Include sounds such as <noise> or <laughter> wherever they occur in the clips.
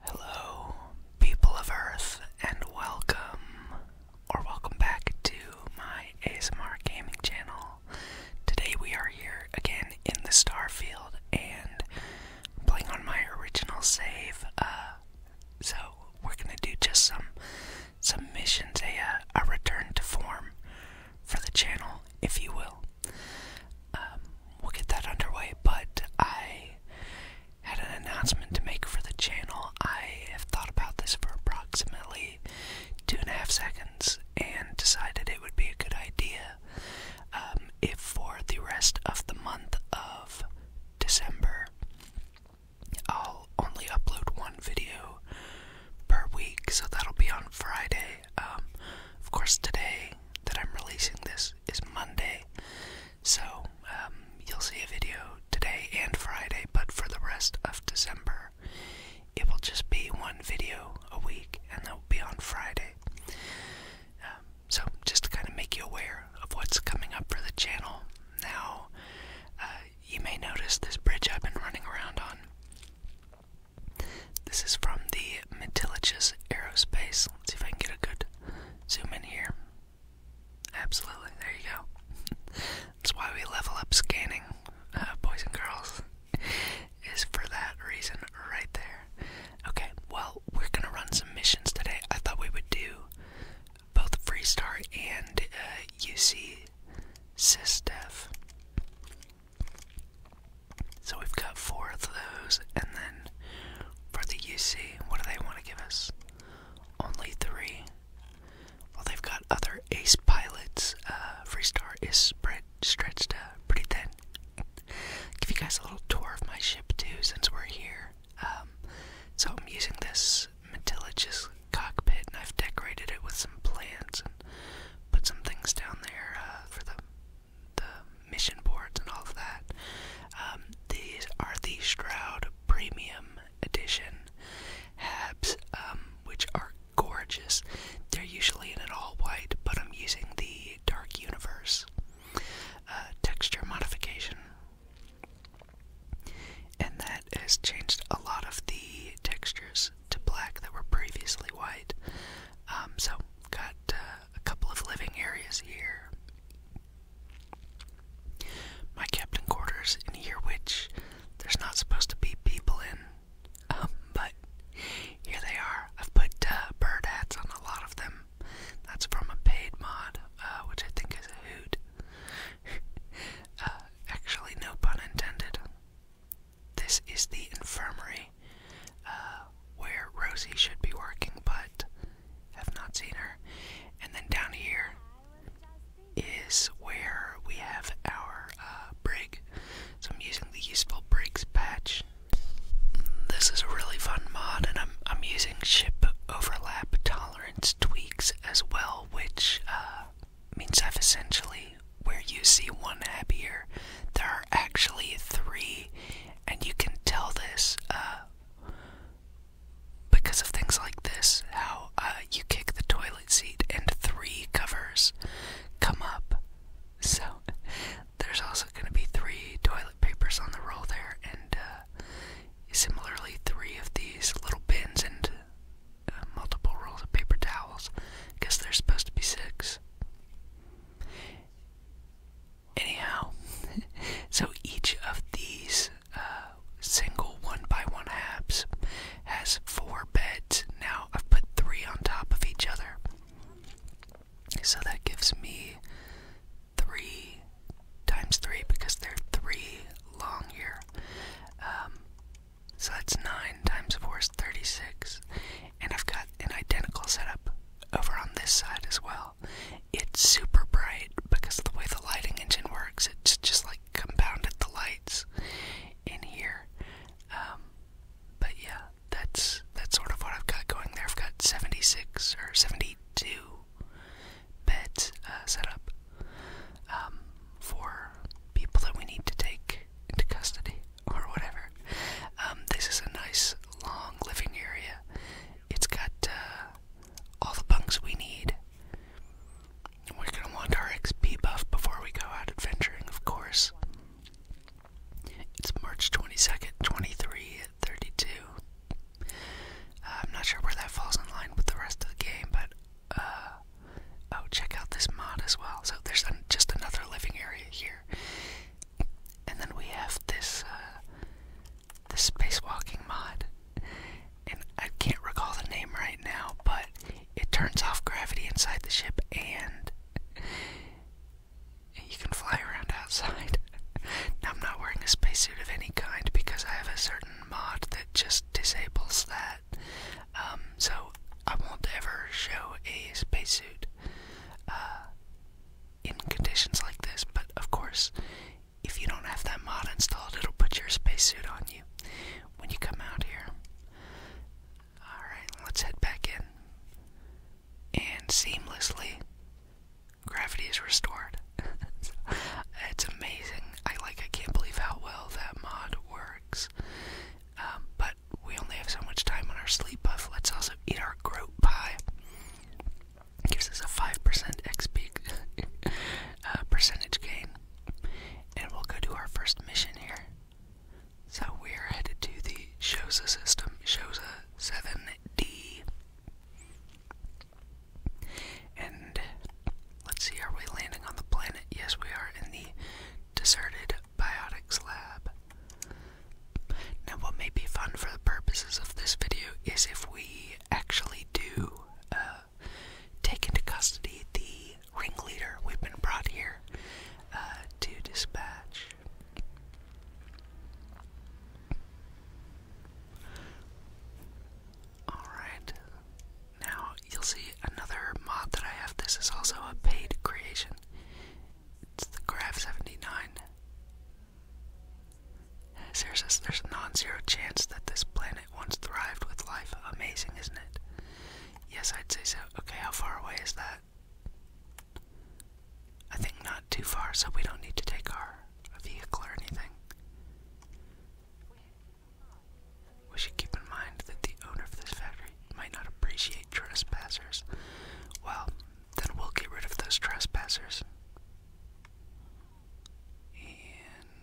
Hello, people of Earth, and welcome, or welcome back to my ASMR gaming channel. Today we are here again in the Starfield and playing on my original save. Uh, so we're gonna do just some some missions, a uh, a return to form for the channel, if you will. Um, we'll get that underway, but I had an announcement to make for the channel. I have thought about this for approximately two and a half seconds and decided it would be a good idea um, if for the rest of the month of December I'll only upload one video per week, so that'll be on Friday. Um, of course, today that I'm releasing this is Monday, so, um, you'll see a video today and Friday, but for the rest of December, it will just be one video a week, and that will be on Friday. Um, so, just to kind of make you aware of what's coming up for the channel now, uh, you may notice this bridge I've been running around on. This is from the Metilichus Aerospace. Let's see if I can get a good Zoom in here. Absolutely, there you go. <laughs> That's why we level up scanning, uh, boys and girls, <laughs> is for that reason right there. Okay, well, we're gonna run some missions today. I thought we would do both Freestar and UC uh, SysDev. So we've got four of those, and then for the UC, what do they want to give us? Only three. Well, they've got other ace pilots. Uh, Freestar is spread, stretched uh, pretty thin. give you guys a little tour of my ship, too, since we're here. Um, so I'm using this Metilich's cockpit, and I've decorated it with some plants and put some things down there uh, for them the mission boards and all of that. Um, these are the Stroud Premium Edition Habs, um, which are gorgeous. They're usually in an all white, but I'm using the Dark Universe uh, texture modification. And that has changed a lot of the textures to black that were previously white. Um, so, got uh, a couple of living areas here. My captain quarters in here, which there's not supposed to be people in, um, but here they are. I've put uh, bird hats on a lot of them. That's from a paid mod, uh, which I think is a hoot. <laughs> Uh, actually, no pun intended. This is the infirmary where Rosie should be working, but have not seen her. And then down here is where we have our uh, brig. So I'm using the useful brigs patch. This is a really fun mod, and I'm I'm using ship overlap tolerance tweaks as well, which uh, means I've essentially where you see one here, there are actually three, and you can tell this uh, because of things like this how uh, you kick the toilet seat and three covers come up. So <laughs> there's also going to be three toilet papers on the roll there, and uh, similarly, three of these little bins and uh, multiple rolls of paper towels. I they're supposed to be six. Anyhow, <laughs> so each of these uh, single one by one halves has four beds. Now I've put three on top of each other. So that gives me three times three because they're three long here. Um, so that's nine times four is 36. And I've got an identical setup over on this side as well. It's super bright because of the way the lighting engine works. It's just like compounded the lights in here. Um, but yeah, that's that's sort of what I've got going there. I've got 76 or 72 beds uh, set up um, for people that we need to take into custody <laughs> or whatever. Um, this is a nice long living area, it's got uh, all the bunks we need. We're gonna want our XP buff before we go out adventuring, of course. It's March 22nd, 23 at 32. Uh, I'm not sure where that falls in line with the rest of the game, but uh, oh, check out this mod as well. So there's just another living area here, and then we have this uh, the spacewalking mod, and I can't recall the name right now, but it turns off gravity inside the ship and you can fly around outside. <laughs> now, I'm not wearing a spacesuit of any kind because I have a certain mod that just disables that. Um, so I won't ever show a spacesuit. Uh, in conditions like this, but of course, if you don't have that mod installed, it'll put your spacesuit on you when you come out here. Alright, let's head back in. And seamlessly, gravity is restored. <laughs> it's amazing. I like. I can't believe how well that mod works. Um, but we only have so much time on our sleep buff. Let's also eat our groat pie gives us a 5% XP <laughs> uh, percentage gain. And we'll go to our first mission here. So we're headed to the Shosa system, Shosa 7D. And let's see, are we landing on the planet? Yes, we are in the deserted biotics lab. Now, what may be fun for the purposes of this video is if we actually do uh, take into custody the ringleader we've been brought here uh, to dispatch. Alright, now you'll see another mod that I have. This is also a paid creation. It's the Grav 79. There's a, there's a non-zero chance that this planet once thrived with life. Amazing, isn't it? Yes, I'd say so. Okay, how far away is that? I think not too far, so we don't need to take our vehicle or anything. We should keep in mind that the owner of this factory might not appreciate trespassers. Well, then we'll get rid of those trespassers.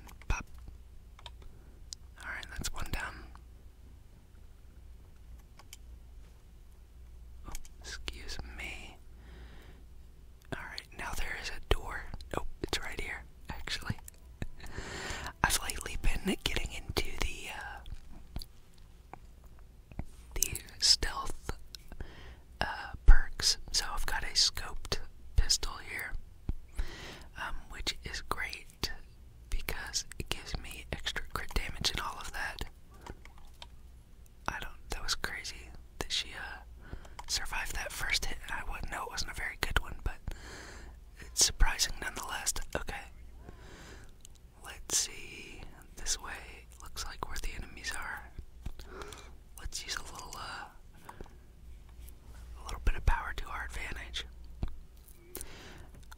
And pop. Alright, that's one down. Oh, excuse me. Alright, now there is a door. Oh, it's right here, actually. I've lately <laughs> been getting into the uh, the stealth uh, perks. So I've got a scoped pistol here, um, which is great because it gives me extra crit damage and all of that. I don't. That was crazy that she uh, survived that first hit. I would know it wasn't a very good one, but it's surprising nonetheless. Okay, let's see. This way looks like where the enemies are let's use a little, uh, a little bit of power to our advantage.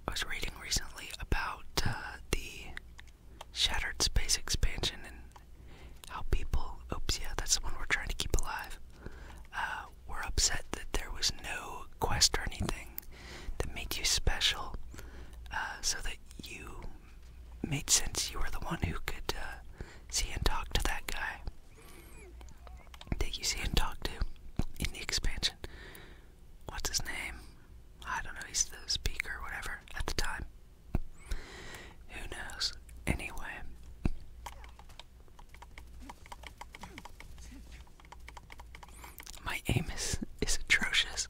I was reading recently about uh, the shattered space expansion and how people, oops, yeah, that's the one we're trying to keep alive, uh, were upset that there was no quest or anything that made you special, uh, so that you made sense. You were the one who could uh, see and talk to that guy that you see and talk to in the expansion. What's his name? I don't know, he's the speaker or whatever at the time. Who knows? Anyway. My aim is, is atrocious,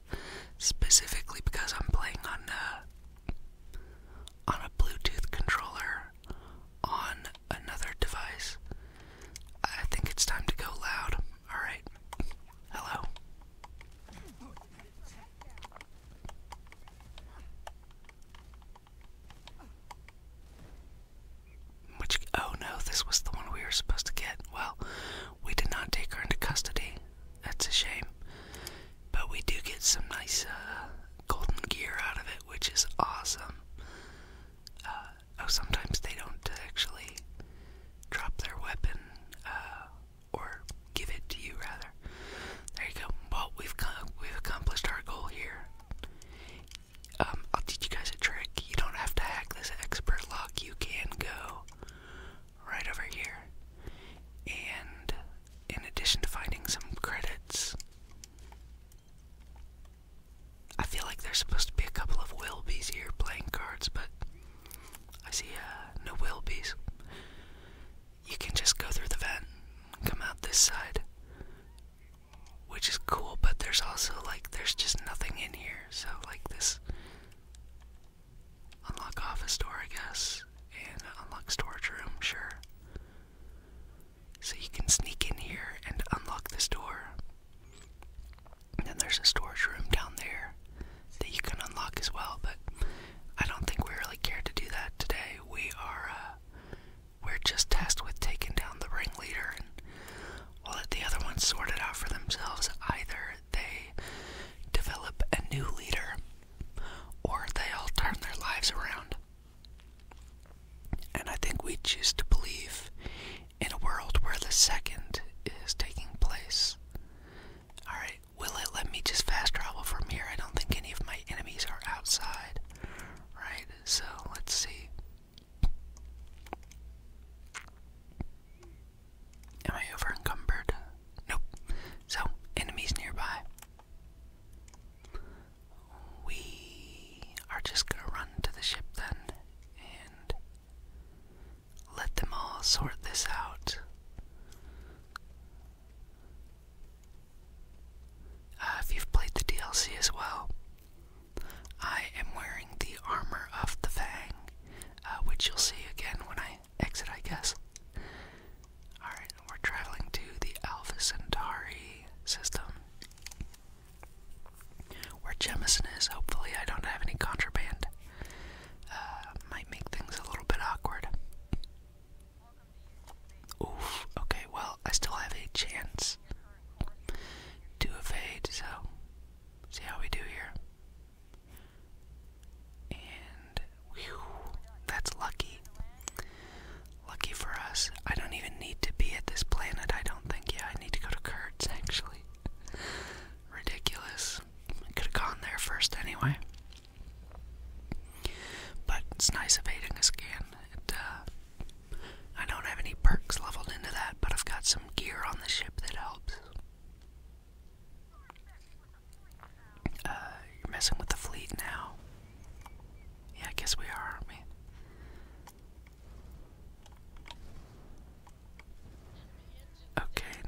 specifically because I'm playing on uh, on a Bluetooth controller on another device. I think it's time to go loud. Alright. Hello. Which, oh no, this was the one we were supposed to get. Well, we did not take her into custody. That's a shame. But we do get some nice uh, golden gear out of it, which is awesome. Uh, oh, sometimes they don't actually drop their weapon, uh, or give it to you rather. There you go. Well, we've we've accomplished our goal here. Um, I'll teach you guys a trick. You don't have to hack this expert lock. You can go right over here and in addition to finding some credits. I feel like there's supposed to be a couple of Wilbies here playing cards, but I see uh, no Wilbies. You can just go through the vent come out this side, which is cool, but there's also like, there's just nothing in here, so like this Unlock office door, I guess. And unlock storage room, sure. So you can sneak in here and unlock this door. And then there's a storage room down there that you can unlock as well, but I don't think we really care to do that today. We are, uh, we're just tasked with taking down the ringleader, and we'll let the other ones sort it out for themselves. Either they develop a new leader, or they all turn their lives around. And I think we choose to believe in a world where the second is taking place. Alright, will it let me just fast travel from here? I don't think any of my enemies are outside. Right, so let's see. Am I overencumbered? Nope. So, enemies nearby. We are just gonna run to the ship then and let them all sort this out. Uh, if you've played the DLC as well, I am wearing the armor of the Fang, uh, which you'll see again when I exit, I guess. Alright, we're traveling to the Alpha Centauri system. Where Jemison is, hopefully, I don't have any contraband. Uh, might make things a little bit awkward. Oof, okay, well, I still have a chance to evade, so see how we do here. And that's lucky. Lucky for us. I don't even need to be at this planet, I don't think. Yeah, I need to go to Kurtz actually. <laughs> Ridiculous. I could have gone there first anyway. But it's nice evading a scan. Uh, I don't have any perks leveled into that, but I've got some gear on the ship that helps. Uh, you're messing with the fleet now. Yeah, I guess we are, aren't we? Okay,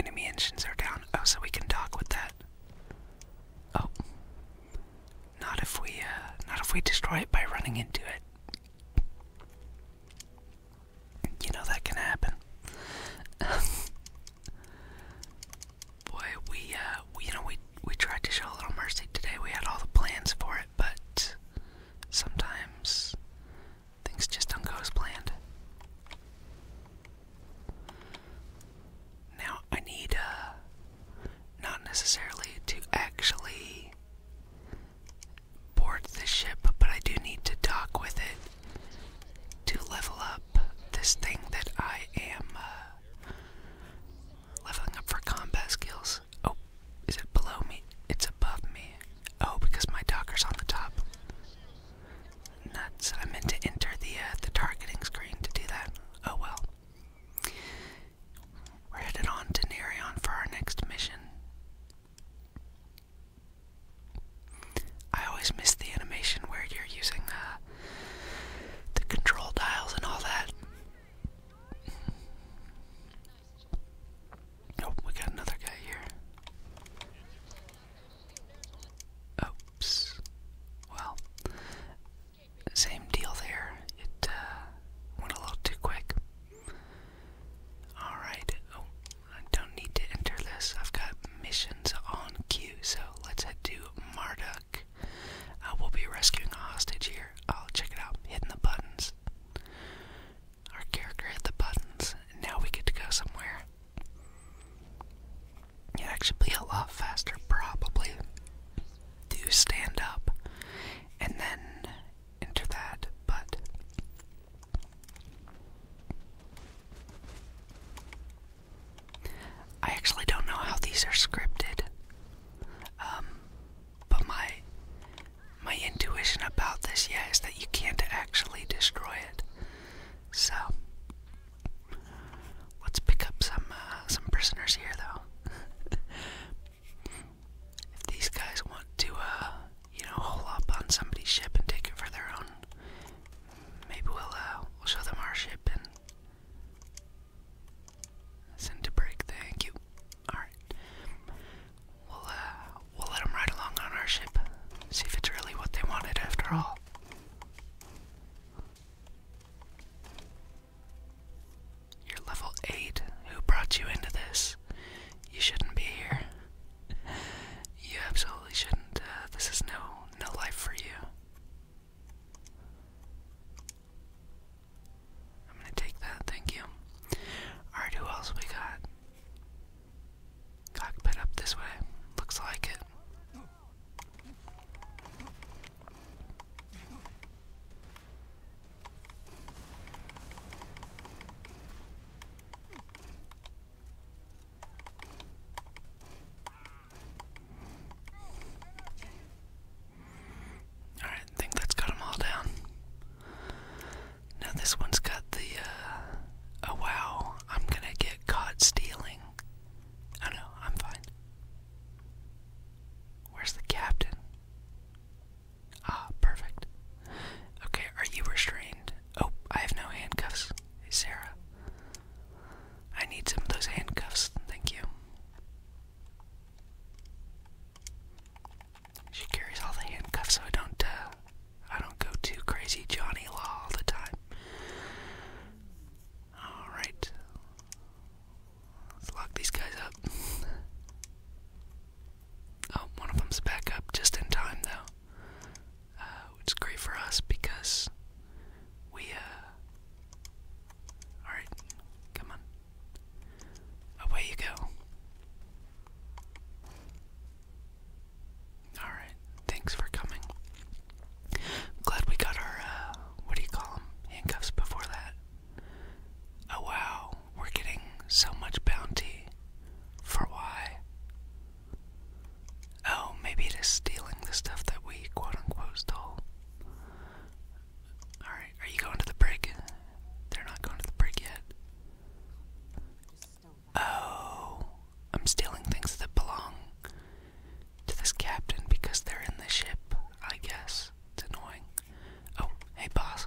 enemy engines are down. Oh, so we can dock with that. Oh, not if we, uh, not if we destroy it by running into it. You know that can happen. <laughs> boy, uh, we you know, we we tried to show a little mercy today. We had all the plans for it, but sometimes things just don't go as planned. Now I need, uh, not necessarily to actually board the ship, but I do need to talk with it to level up this thing that I am uh, leveling up for combat skills. Oh, is it below me? It's above me. Oh, because my docker's on the top. Nuts! I meant to enter the uh, the targeting screen to do that. Oh well. We're headed on to Nerion for our next mission. I always miss the animation where you're using uh, the control dials and all that. Oh, we got another guy here. Oops. Well, same deal there. It uh, went a little too quick. Alright. Oh, I don't need to enter this. I've got missions on queue, so let's head to Marduk. Uh, we'll be rescuing a hostage here. I'll check it out. Hitting the buttons. Our character hit the buttons, and now we get to go somewhere. it actually be a lot faster, probably, to stand up and then enter that, but I actually don't know how these are scripted. Um, but my my intuition about this, yeah, is that you can't actually destroy it. So let's pick up some uh, some prisoners here, though. <laughs> if these guys want to, uh, you know, hole up on somebody's ship and take it for their own maybe we'll uh, we'll show them our ship and send to break. Thank you. All right, we'll uh, we'll let them ride along on our ship. See if it's really what they wanted after all. You're level 8. Who brought you into this? You shouldn't be here. <laughs> You absolutely shouldn't. Uh, this is no no life for you. I'm gonna take that, thank you. Alright, who else we got? Cockpit up this way. Looks like it. Alright, I think that's got them all down. Now this one's got the, uh, oh wow, I'm gonna get caught stealing. Oh no, I'm fine. Where's the captain? Ah, perfect. Okay, are you restrained? Oh, I have no handcuffs. Hey, Sarah. I need some of those handcuffs, thank you. She carries all the handcuffs so I don't uh, I don't go too crazy Johnny Law all the time. Alright. Let's lock these guys up. <laughs> oh, one of them's back up just in time though. Uh, it's great for us because we, uh, alright, come on, away you go. Alright, thanks for coming. Glad we got our, uh, what do you call them, handcuffs before that. Oh wow, we're getting so much bounty for why? Oh, maybe it is stealing the stuff that we quote unquote stole. Alright, are you going to the break? They're not going to the break yet. Oh, I'm stealing things that belong to this captain because they're in the ship, I guess. It's annoying. Oh, hey, boss.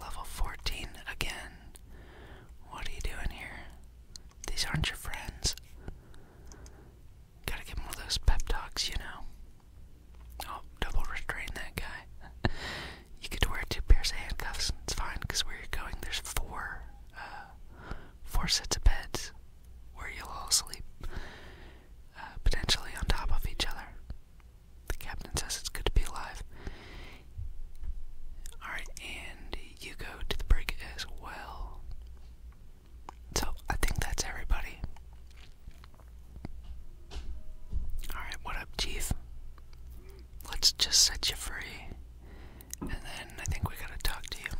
Level 14 again. What are you doing here? These aren't your friends. Gotta give him one of those pep talks, you know. Oh, double restrain that guy. <laughs> you could wear two pairs of handcuffs, it's fine, where you're going, there's four, uh, four sets of beds where you'll all sleep, uh, potentially on top of each other. The captain says it's good to be alive. Alright, and you go to the break as well. So I think that's everybody. Alright, what up, Chief? Let's just set you free. And then I think we gotta talk to you.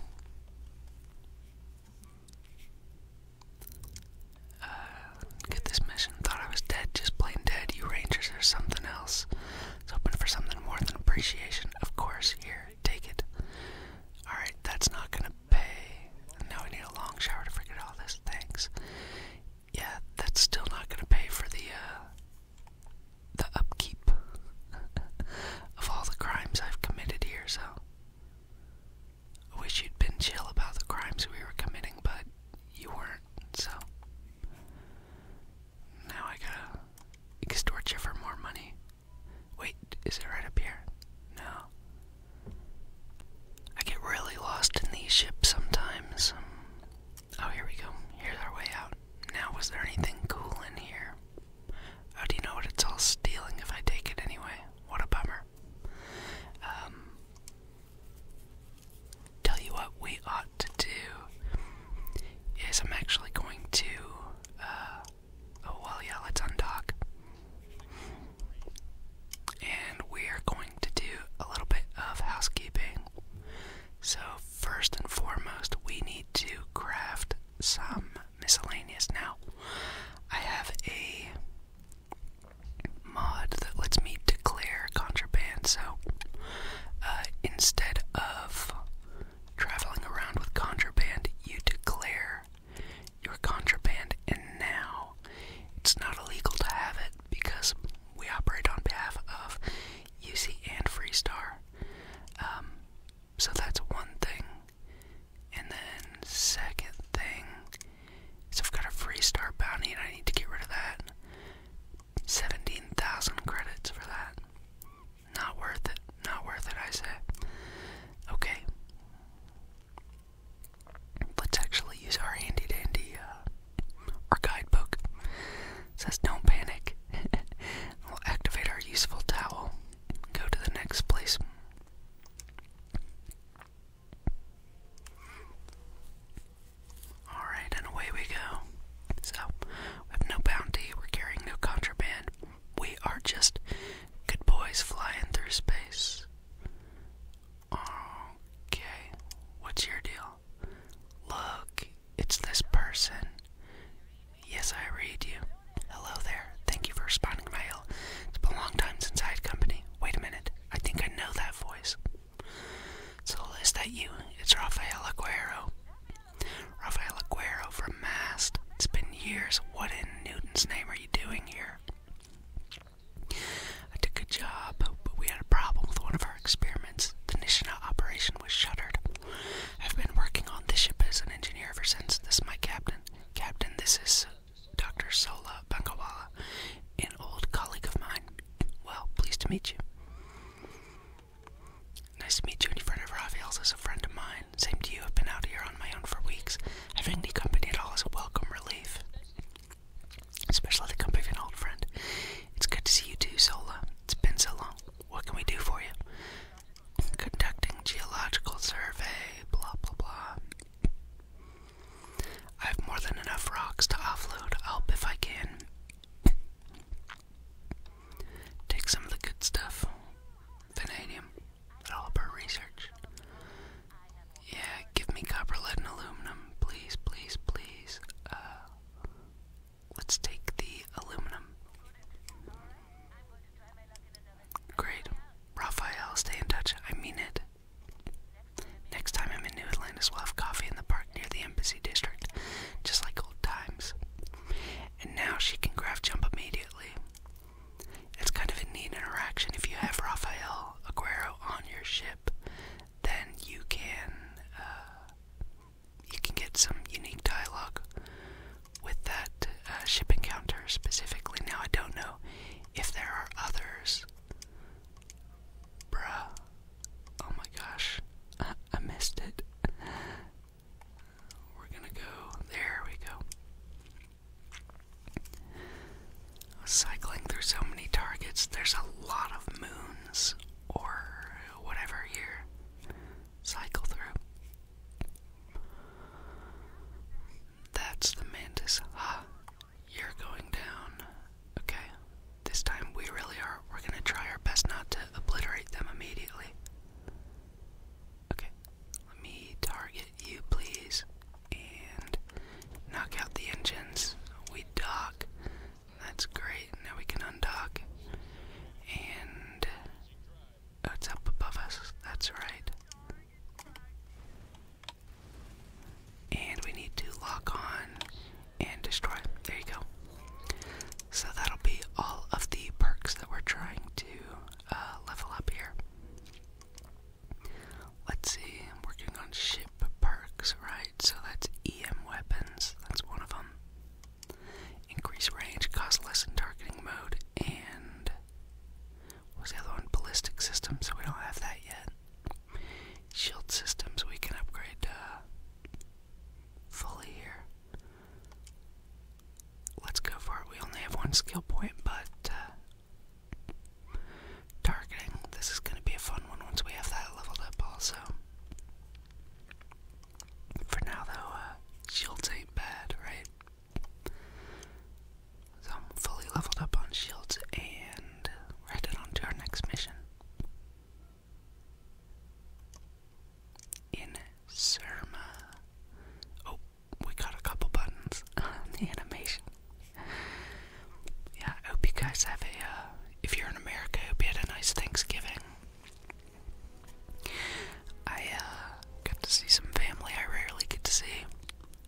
Uh, get this mission. Thought I was dead, just plain dead. You Rangers are something else. I was for something more than appreciation. Of course, here take it. Alright, that's not gonna pay. Now I need a long shower to forget all this. Thanks. Yeah, that's still not gonna pay for the uh, the upkeep <laughs> of all the crimes I've committed here, so I wish you'd been chill about the crimes we were committing, but you weren't, so now I gotta extort you for more money. Wait, is it right up here? No. I get really lost in these ships sometimes. Oh, here we go. Here's our way out. Now, was there anything cool in here? How oh, do you know what? It's all stealing if I take it anyway. What a bummer. Um. Tell you what we ought to do is I'm actually going to uh, oh, well, yeah, let's undock. And we are going to do a little bit of housekeeping. So, first and foremost, we need to craft some miscellaneous. Now, I have a mod that lets me declare contraband, so uh, instead of Traveling around with contraband, you declare your contraband, and now it's not illegal to have it because we operate on behalf of UC and Freestar. Um, so that's one thing. And then, second thing is I've got a Freestar bounty and I need to get rid of that. 17,000 credits for that. Not worth it. Not worth it, I say. Okay. Let's actually use our handy dandy, uh, our guidebook. says don't panic. <laughs> we'll activate our useful towel. Go to the next place. Alright, and away we go. So, we have no bounty, we're carrying no contraband we are just good boys flying through space. Okay, what's your deal? Look, it's this person. Yes, I read you. Hello there. Thank you for responding my mail. It's been a long time since I had company. Wait a minute. I think I know that voice. So, is that you? It's Rafael Aguero. Rafael Aguero from Mast. It's been years. What in Newton's name are you doing here? I took a job, but we had a problem with one of our experiments. The Nishna operation was shuttered. I've been working on this ship as an engineer ever since. This is my captain. Captain, this is Dr. Sola Bankawala, an old colleague of mine. Well, pleased to meet you. Nice to meet you, and you've of Raphael's as a friend of mine. Same to you, I've been out here on my own for weeks. Having the company at all is a welcome relief. Especially the company of an old friend. It's good to see you too, So long. It's been so long. What can we do for you? Conducting geological survey, blah blah blah. I have more than enough rocks to offload. i help if I can. Take some of the good stuff, vanadium, all of our research. Yeah, give me copper, lead, and aluminum, please, please, please. Uh, let's take the aluminum. Great. Raphael, stay in touch. I mean it. Next time I'm in New Atlantis, we'll have coffee in the park near the Embassy District, just like old times and now she can graph jump immediately. It's kind of a neat interaction. If you have Rafael Aguero on your ship, then you can uh, you can get some unique dialogue with that uh, ship encounter specifically. Now I don't know if there are others. Bruh. Oh my gosh. <laughs> I missed it. We're gonna go. There we go. Cycling through so many targets, there's a lot of moons or whatever here. Cycle through. That's the mantis. Ha! You're going down. Okay. This time we really are. We're gonna try our best not to obliterate them immediately. Okay, let me target you, please, and knock out the engines. We dock. That's great. Now we can undock. And oh, it's up above us. That's right. And we need to lock on and destroy. There you go. So that'll be all of the perks that we're trying to uh, level up here. Let's see, I'm working on ship perks, right? So that's EM weapons, that's one of them. Increase range, cost less in targeting mode, and what the other one? Ballistic systems, so we don't have that yet. Shield systems we can upgrade uh, fully here. Let's go for it. We only have one skill point, but uh, targeting. This is going to be a fun one once we have that leveled up, also. For now, though, uh, shields ain't bad, right? So fully leveled up on shields and we're headed on our next mission in Surma. Oh, we got a couple buttons <laughs> on the animation. Yeah, I hope you guys have a, uh, if you're in America, I hope you had a nice Thanksgiving. I uh, got to see some family I rarely get to see,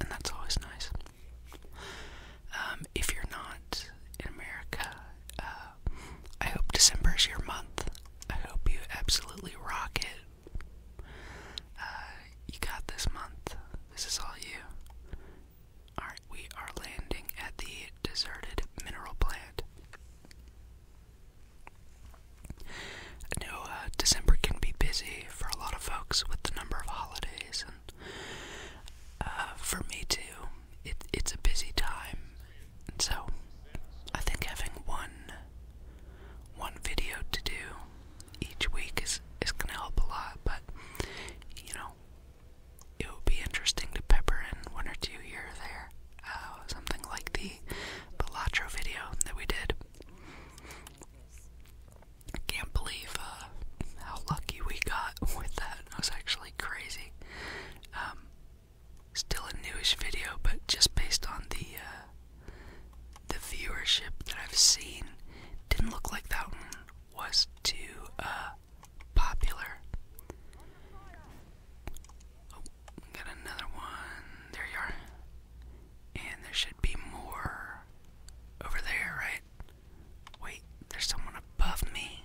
and that's always nice. Um, if you're not in America, uh, I hope December is your month. I hope you absolutely rock it. Uh, you got this month. This is all you. Alright, we are landing at the deserted mineral plant. I know uh, December can be busy for a lot of folks with the number of holidays, and uh, for me too. it's a busy time, so I think having one one video to do each week is is gonna help a lot, but you know, it would be interesting to pepper in one or two here or there. Uh, something like the Bellatro video that we did. can't believe uh, how lucky we got <laughs> with that. It was actually crazy. Um, Still a newish video, but just based on the uh, the viewership that I've seen, didn't look like that one was too uh, popular. Oh, got another one. There you are. And there should be more over there, right? Wait, there's someone above me.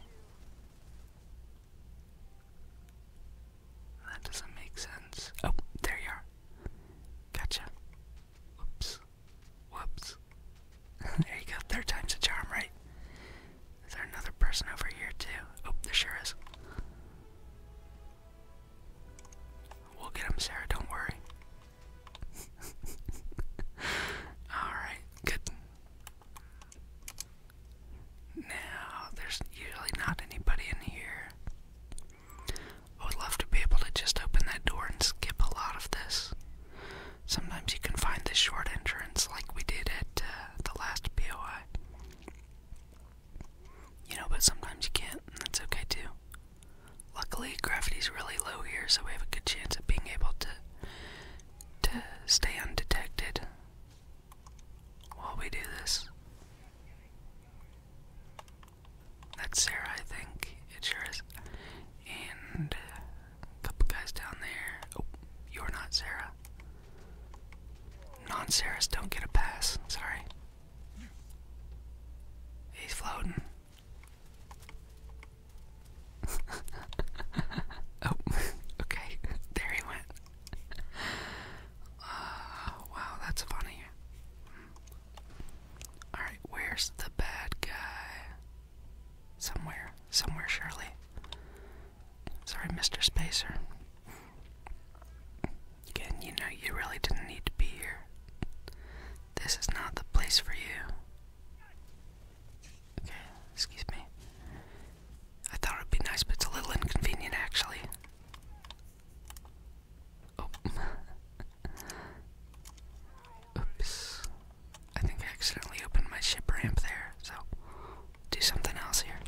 That doesn't make sense. Oh, there you are. Gotcha. Whoops. Whoops. <laughs> there you go. Third time's a charm, right? Is there another person over here, too? Oh, there sure is. We'll get him, Sarah. Don't worry. <laughs> Alright, good. Now, there's usually not anybody in here. I would love to be able to just open that door and skip a lot of this. Sometimes you can find this short entrance like we did at uh, the last POI. You know, but sometimes you can't, and that's okay too. Luckily, gravity's really low here, so we have a good chance of being able to to stay undetected while we do this. That's Sarah, I think. It sure is. And a couple guys down there. Oh, you're not Sarah. Non Sarahs don't get a pass. Sorry. He's floating. <laughs> oh, <laughs> okay. <laughs> There he went. <laughs> wow, that's funny. Alright, where's the bad guy? Somewhere. Somewhere, Shirley. Sorry, Mr. Spacer. Again, you know you really didn't need to be here. This is not the place for you. Okay, excuse me. I thought it would be nice, but it's a little inconvenient actually. Oh. <laughs> Oops. I think I accidentally opened my ship ramp there, so do something else here.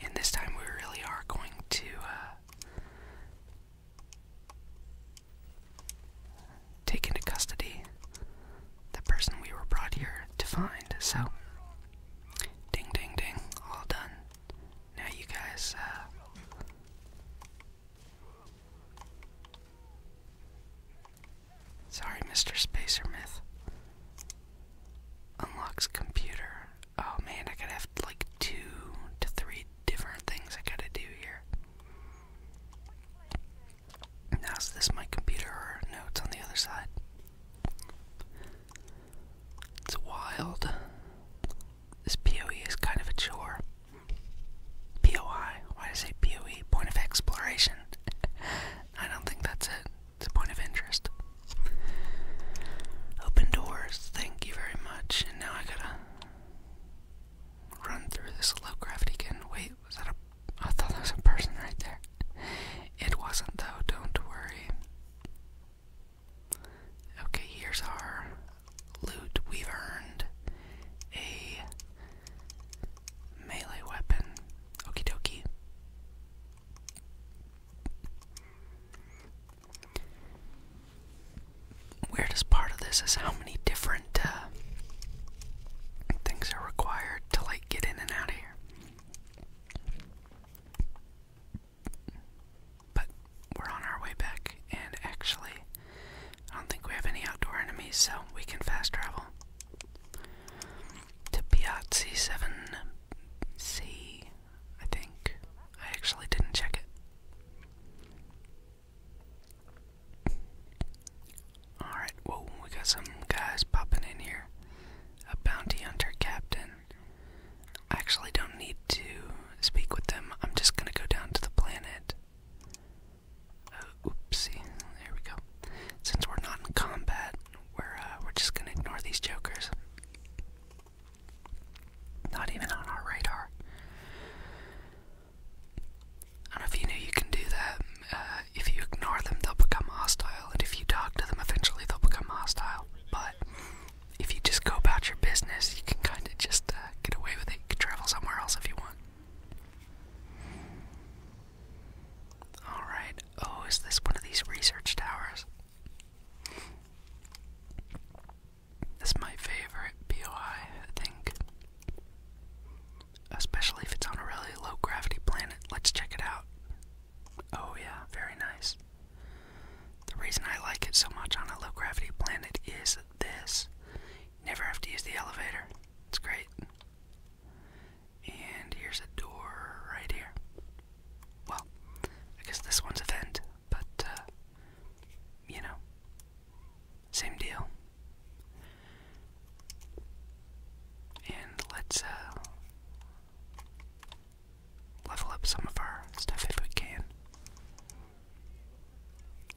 And this time we really are going to uh, take into custody the person we were brought here to find. So Ding, ding, ding. All done. Now you guys, uh. Sorry, Mr. Spacer Myth. Unlocks computer. Oh man, I gotta have like two to three different things I gotta do here. Now's this my computer or notes on the other side. It's wild. This PoE is kind of a chore. POI. Why did I say PoE? Point of exploration. <laughs> I don't think that's it. It's a point of interest. Open doors. Thank you very much. And now I gotta run through this low gravity again. Wait, was that a I thought there was a person right there. It wasn't, though, don't worry. Okay, here's our loot. We've earned a melee weapon. Okie dokie. Weirdest part of this is how many different uh, things are required to like get in and out of here. But we're on our way back, and actually, I don't think we have any outdoor enemies, so we can fast travel to Piazzi 7C, I think. I actually didn't check it. Alright, whoa, we got some guys popping in here. A bounty hunter captain. I actually don't need to speak with them. I'm just gonna go down to the planet. Uh, oopsie, there we go. Since we're not in combat, we're uh, we're just gonna ignore these jokers. Not even on our radar. I don't know if you knew you can do that. Uh, if you ignore them, they'll become hostile, and if you talk to them, eventually they'll become hostile. But if you just go about your business, you can kind of just uh, get away with it. You can travel somewhere else if you want. Alright, oh, is this one of these research towers? This my favorite BOI, I think. Especially if it's on a really low gravity planet. Let's check it out. Oh, yeah, very nice. The reason I like it so much on a low gravity planet is this never have to use the elevator, it's great. And here's a door right here. Well, I guess this one's a vent, but uh, you know, same deal. And let's uh, level up some of our stuff if we can.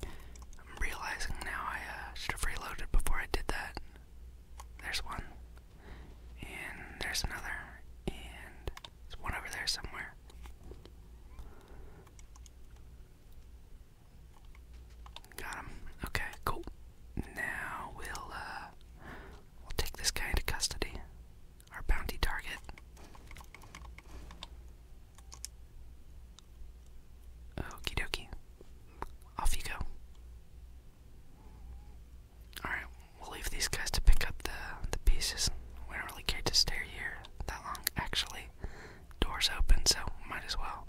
I'm realizing now I uh, should have reloaded before I did that. There's one, and there's another, and there's one over there somewhere. Got him. Okay, cool. Now we'll uh, We'll take this guy into custody. Our bounty target. Okie dokie. Off you go. Alright, we'll leave these guys to pick up the the pieces. We don't really care to stay here that long, actually. Doors open, so might as well.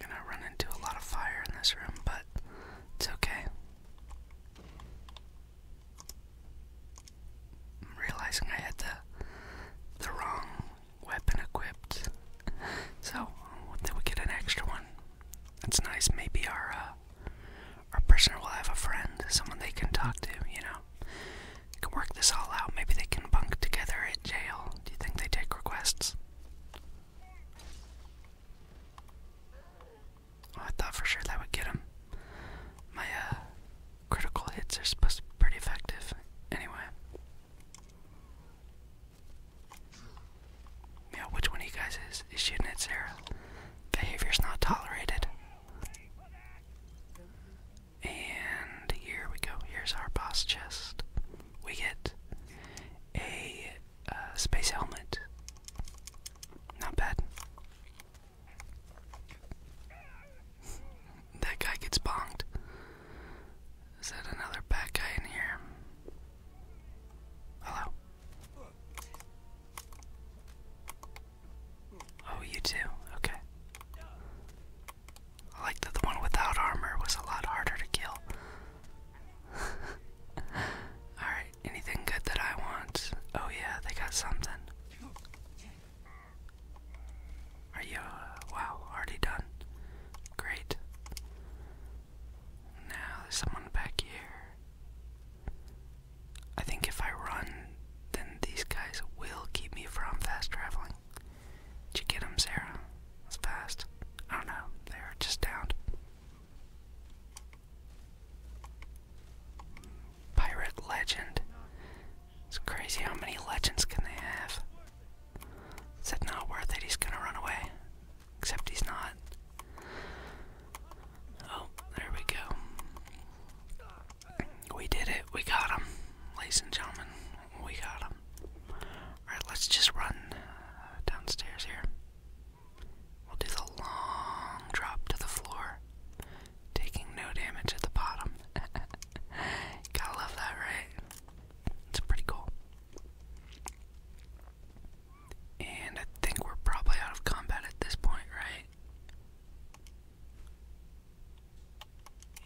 Gonna run into a lot of fire in this room, but it's okay. I'm realizing I had the the wrong weapon equipped, so then we get an extra one. That's nice. Maybe our uh, our prisoner will have a friend, someone they can talk to. You know, we can work this all out. Maybe they can bunk together at jail. Do you think they take requests? Oh, I thought for sure that would get him. My uh, critical hits are supposed to be pretty effective. Anyway. Yeah, which one of you guys is, is shooting at Sarah? Behavior's not tolerated. And here we go. Here's our boss chest we get a uh, space helmet. Not bad. that guy gets bonked. Is that another bad guy in here? Hello. Oh, you too. Okay. I like that the one without armor was a lot harder to kill. <laughs> Alright, anything good that I want? Oh, yeah, they got something. Are you, uh, wow, already done? Great. Now there's someone back here. I think if I run, then these guys will keep me from fast traveling. Did you get him, Sarah? That's fast. I don't know. They are just downed. Pirate legend. It's crazy how many legends can they have. Is it not worth it? He's gonna run away. Except he's not. Oh, there we go. We did it. We got him, ladies and gentlemen we got him. Alright, let's just run uh, downstairs here. We'll do the long drop to the floor, taking no damage at the bottom. <laughs> Gotta love that, right? It's pretty cool. And I think we're probably out of combat at this point, right?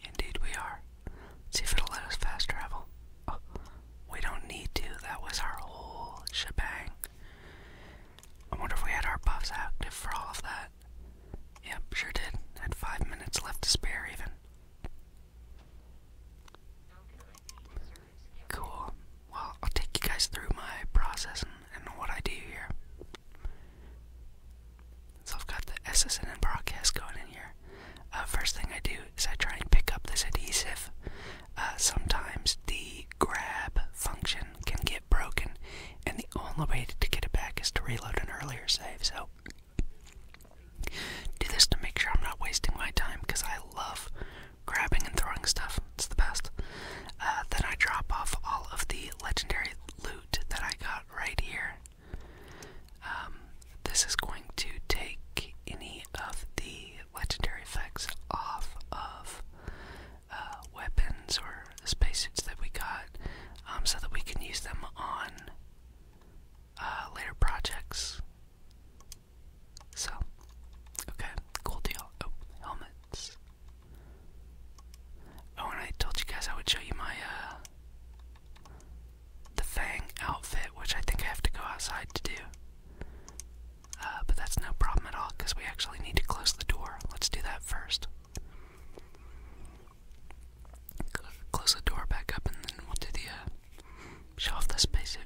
Indeed, we are. See if it'll let us fast travel. Oh, we don't need to. That was our whole shebang. I wonder if we had our buffs active for all of that. Yep, sure did. Had five minutes left to spare, even. Cool. Well, I'll take you guys through my process and, what I do here. So I've got the SSN broadcast going in here. Uh, first thing I do is I try and pick up this adhesive. Uh, sometimes the grab function can get broken, and the only way to get it back is to reload an earlier save. So, do this to make sure I'm not wasting my time because I love grabbing and throwing stuff, it's the best. Uh, then I drop off all of the legendary loot that I got right here. Um, this is going to take any of the legendary effects off of uh, weapons or spacesuits that we got um, so that we can use them on uh, later projects. So, okay, cool deal. Oh, helmets. Oh, and I told you guys I would show you my uh, the Fang outfit, which I think I have to go outside to do. Uh, but that's no problem at all because we actually need to close the door. Let's do that first. Close the door back up and then we'll do the uh, show off the spacesuit.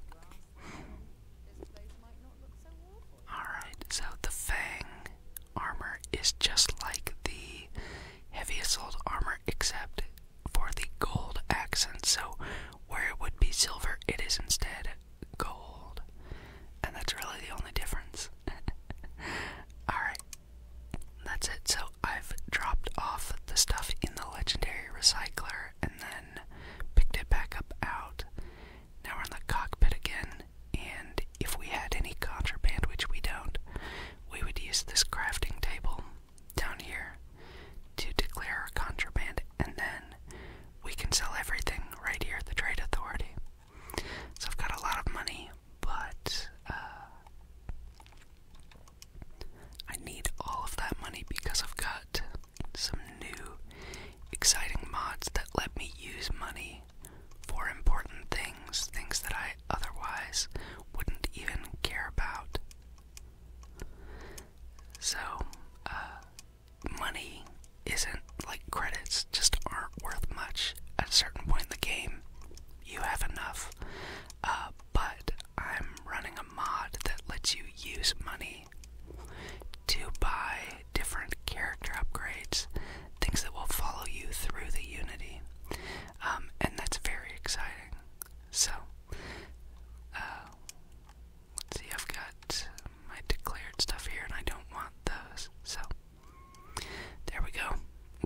Alright, so the Fang armor is just like the heavy assault armor, except for the gold accent. So where it would be silver, it is instead gold. And that's really the only difference. <laughs> Alright, that's it. So I've dropped off the stuff in the legendary recycler and then picked it back up out. Now we're in the cockpit again, and if we had any contraband, which we don't, we would use this crafting table down here to declare our contraband, and then we can sell everything right here at the Trade Authority. So I've got a lot of money, but uh, I need all of that money because I've got some new exciting mods that let me use money for important things, things that I otherwise wouldn't even care about. So, uh, money isn't like credits, just aren't worth much. At a certain point in the game, you have enough. Uh, but I'm running a mod that lets you use money to buy different character upgrades, things that will follow you through the Unity. Um, and that's very exciting. So, uh, let's see, I've got my declared stuff here, and I don't want those. So, there we go.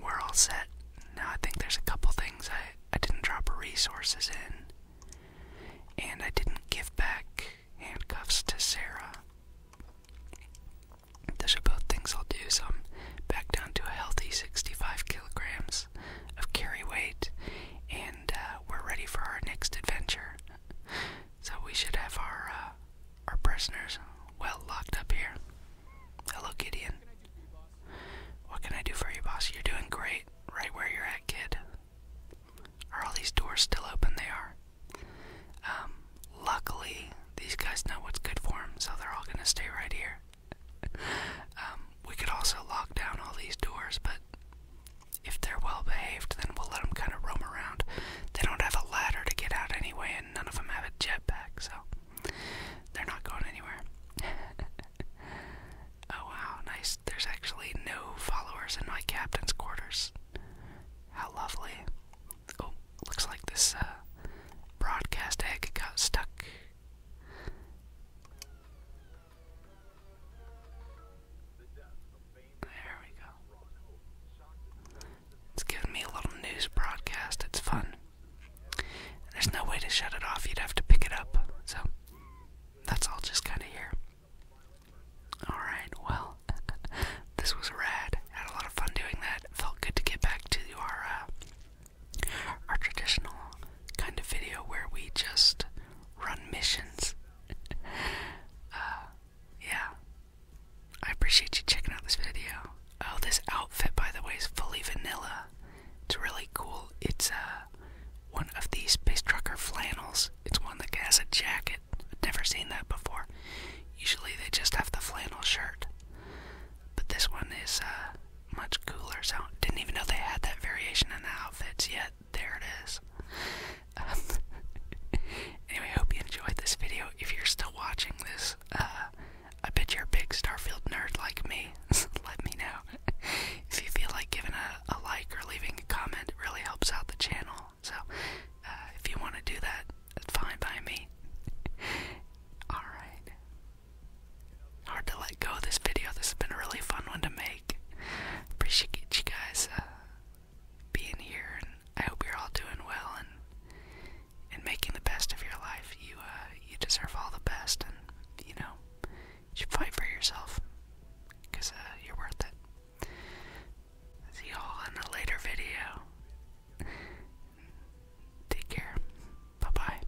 We're all set. Now, I think there's a couple things I, I didn't drop resources in, and I didn't give back handcuffs to Sarah. Those are both things I'll do, so I'm back down to a healthy 65 kilograms of carry weight, and uh, we're ready for our next adventure. So we should have our uh, our prisoners well locked up here. Hello, Gideon. What can I do for you, boss? You're doing great, right where you're at, kid. Are all these doors still open? They are. Um, luckily, these guys know what's good for them, so they're all gonna stay right here. Um, we could also lock down all these doors, but if they're well behaved, then we'll let them kind of roam around. They don't have a ladder to get out anyway, and none of them have a jetpack, so they're not going anywhere. <laughs> oh wow, nice. There's actually no followers in my captain's quarters. How lovely. Oh, looks like this uh, broadcast egg got stuck. There we go. It's giving me a little news broadcast. It's fun. There's no way to shut it off. You'd have to pick it up. So that's all just kind of here. Alright, well, <laughs> this was rad. Had a lot of fun doing that. Felt good to get back to our uh, our traditional kind of video where we just run missions. <laughs> Uh, yeah. I appreciate you checking out this video. Oh, this outfit, by the way, is fully vanilla. It's really cool. It's uh, one of these space trucker flannels. It's one that has a jacket. I've never seen that before. Usually they just have the flannel shirt. But this one is uh, much cooler so Didn't even know they had that variation in the outfits yet. There it is. Um, <laughs> anyway, hope you enjoyed this video. If you're still watching this, uh, I bet you're a big Starfield nerd like me. <laughs> Let me know. <laughs> if you feel like giving a, like or leaving a comment, really helps out the channel. So, uh, if you want to do that, that's fine by me. Alright, Hard to let go of this video. This has been a really fun one to make. Appreciate you guys uh, being here, and I hope you're all doing well and and making the best of your life. You uh, you deserve all the best, and you know you fight for yourself because uh, you're worth it. See y'all in a later video. Take care. Bye bye.